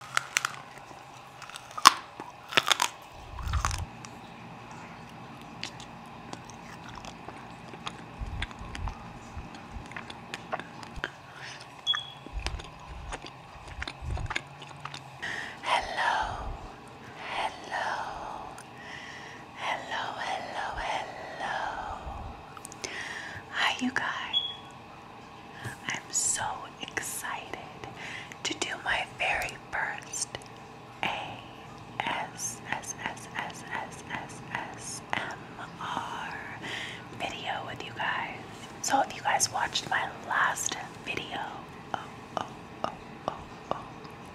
Hello, hello, hello, hello, hello. Hi, you guys. I'm so excited to do my very first ASSSSSSSMR video with you guys. So if you guys watched my last video, oh, oh, oh, oh, oh,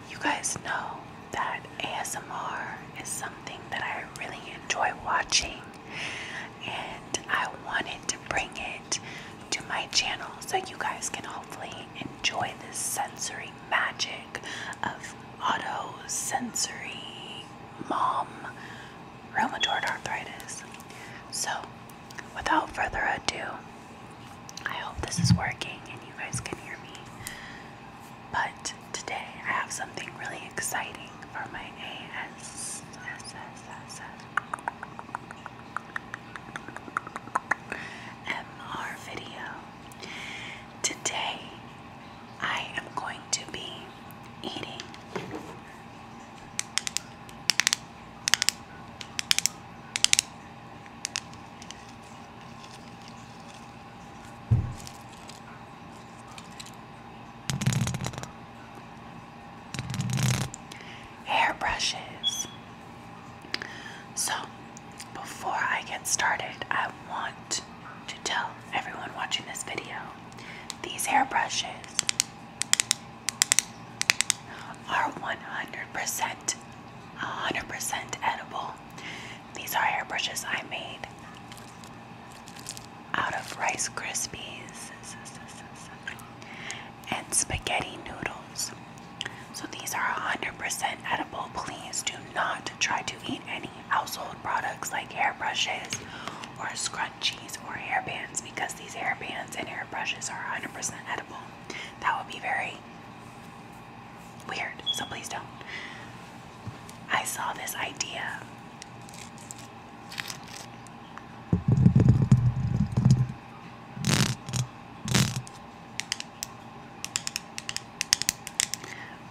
you guys know that ASMR is something that I really enjoy watching and I wanted to bring it to my channel so you guys can hopefully enjoy this sensory magic of auto sensory mom rheumatoid arthritis. So, without further ado, I hope this is working and you guys can hear me. But today I have something really exciting for my ASSS. video. Today I am going to be eating hair brushes. So, before I get started, I want to tell everyone watching this video these hair brushes are 100 100% edible. These are hairbrushes I made out of Rice Krispies and spaghetti noodles. So these are 100% edible. Please do not try to eat any household products like hairbrushes or scrunchies or hairbands because these hairbands and hairbrushes are 100% edible. That would be very weird, so please don't. I saw this idea.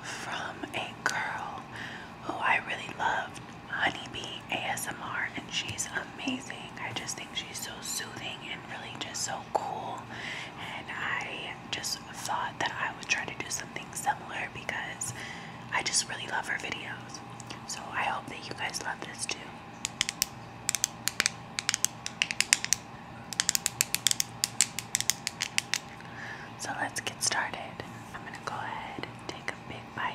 From a girl who I really loved, Honeybee ASMR, and she's amazing. I just think she's so soothing and really just so cool. And I just thought that I would try to do something similar because I just really love her videos. So I hope that you guys love this too. So let's get started. I'm gonna go ahead and take a big bite.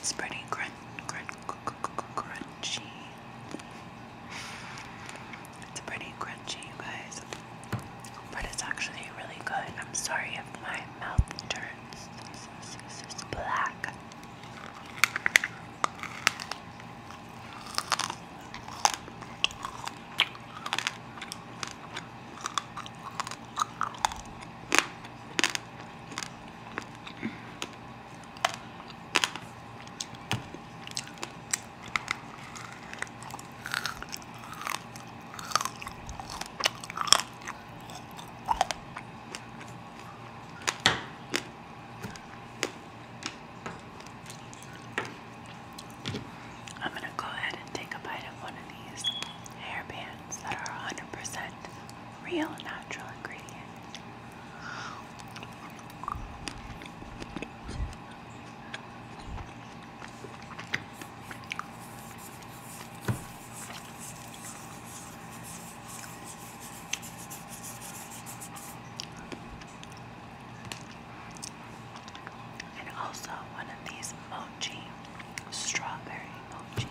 It's pretty crun crunchy. It's pretty crunchy, you guys, but it's actually really good. I'm sorry if my mouth turns black. I'm going to go ahead and take a bite of one of these hairbands that are 100% real natural ingredients. And also one of these mochi, strawberry mochi.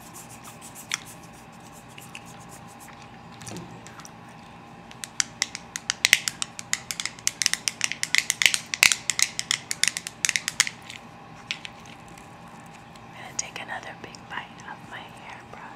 I'm going to take another big bite of my hairbrush.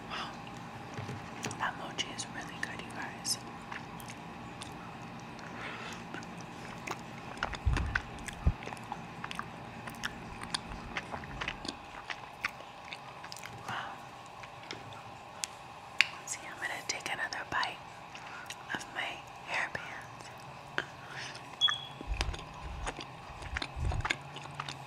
Wow. That mochi is really good, you guys. Wow. See, I'm going to take another bite of my hairbands.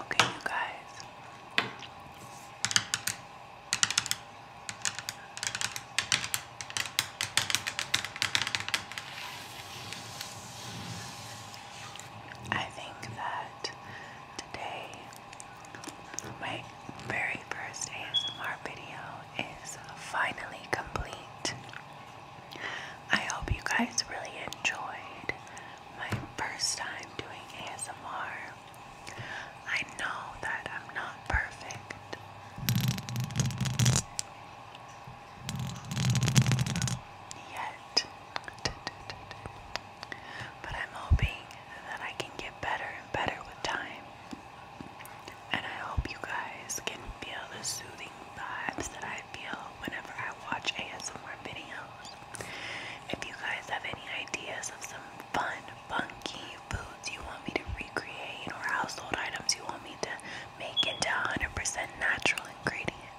Okay, you guys. I think that today. My very first ASMR video is finally complete. I hope you guys really enjoyed my first time doing ASMR. I know that I'm not perfect. Yet, But I'm hoping that I can get better and better with time. And I hope you guys can feel the soothing vibes that I feel whenever I watch ASMR videos. If you guys have any ideas of some fun, funky foods you want me to recreate or household items you want me to make into 100% natural ingredients,